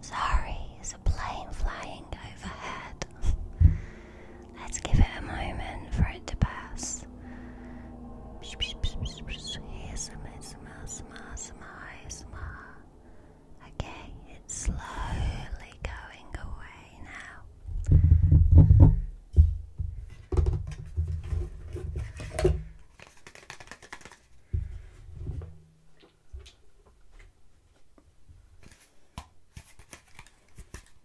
Sorry, is a plane flying overhead. Let's give it a moment for it to pass. Okay, it's slowly going away now.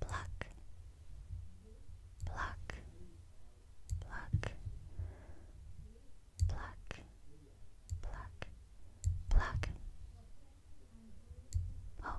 Pluck, pluck, pluck, pluck, pluck, pluck. Oh.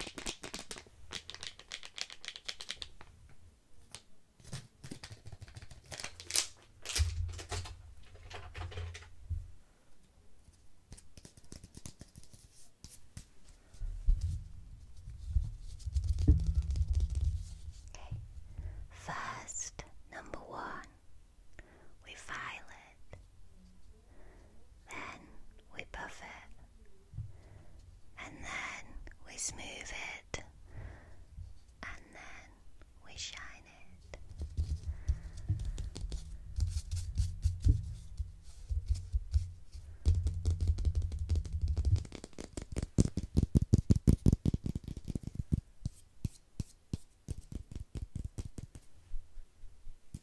Okay. First, number one, we file it then we buff it, and then we smooth it, and then we shine it.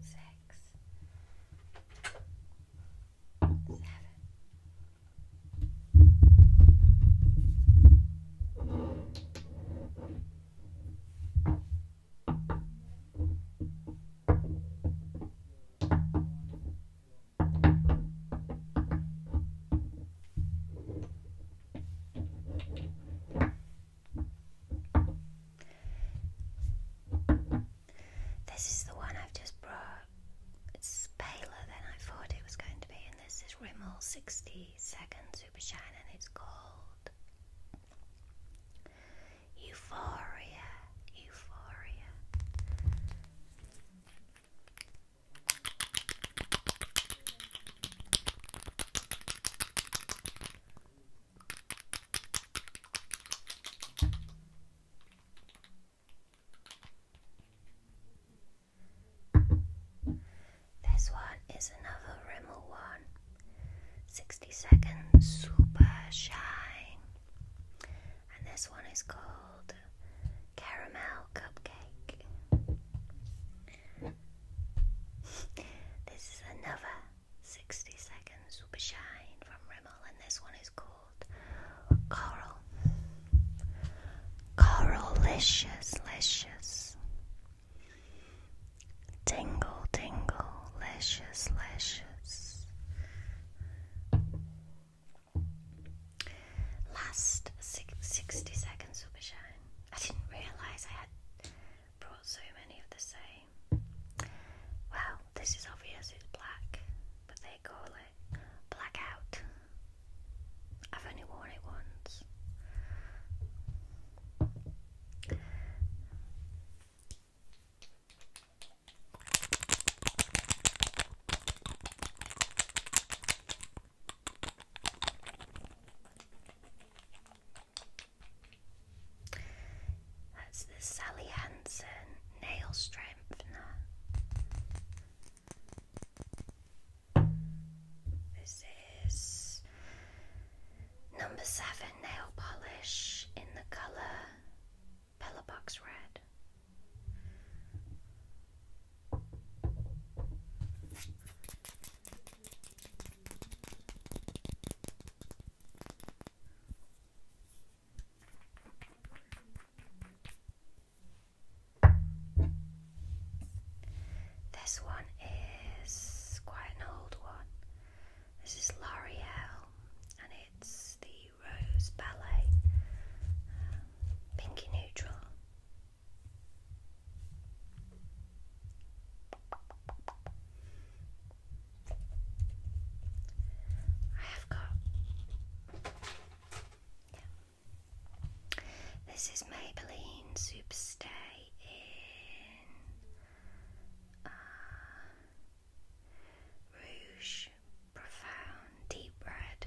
six, seven. Eight. This is the one I've just brought. It's paler than I thought it was going to be, and this is Rimmel 60 Second Super Shine, and it's called Euphoria. Euphoria. This one is another Rimmel one. seconds Super Shine. And this one is called Caramel Cupcake this is another 60 second super shine from Rimmel, and this one is called Coral. Coralicious, licious. Tingle, tingle, licious, licious. Last six, 60 seconds, Super Shine. I didn't realize I had brought so many of the same. Well, this is obvious, it's black, but they call it blackout. I've only worn it once. That's the Sally Hansen nail strengthener. This is number seven nail polish in the colour Pillarbox Red. This one is quite an old one. This is L'Oreal and it's the Rose Ballet um, Pinky Neutral. I have got. This is Maybelline Superstay in uh, Rouge Profound Deep Red.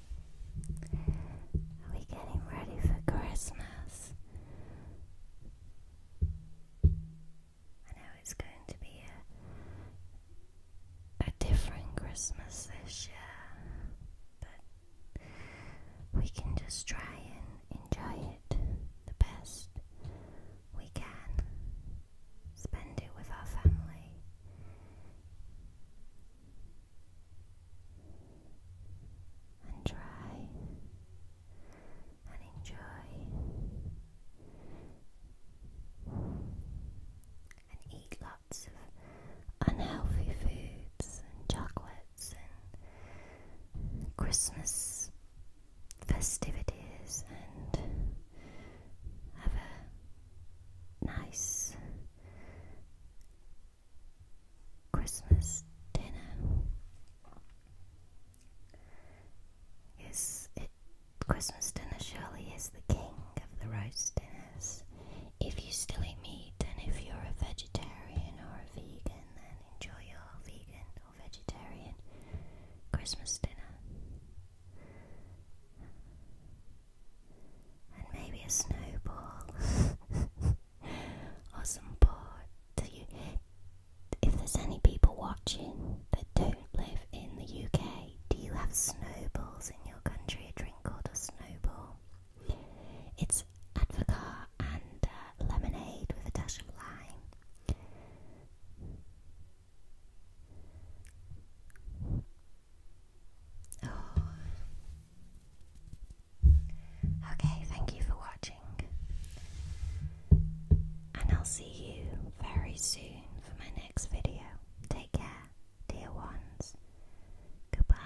Are we getting ready for Christmas? I know it's going to be a, different Christmas this year, but we can just try and enjoy it the best we can. Spend it with our family and try and enjoy and eat lots of unhealthy foods and chocolates and Christmas festivities and have a nice Christmas dinner. Yes, it, Christmas dinner surely is the king of the roast dinners. If you still eat meat, and if you're a vegetarian or a vegan, then enjoy your vegan or vegetarian Christmas dinner and maybe a snowball or some board. Do you, if there's any people watching that don't live in the UK, do you have snowballs in your country? A drink called a snowball. It's advocat and uh, lemonade with a dash of lime. Oh. Okay, thank you for watching. And I'll see you very soon for my next video. Take care, dear ones. Goodbye.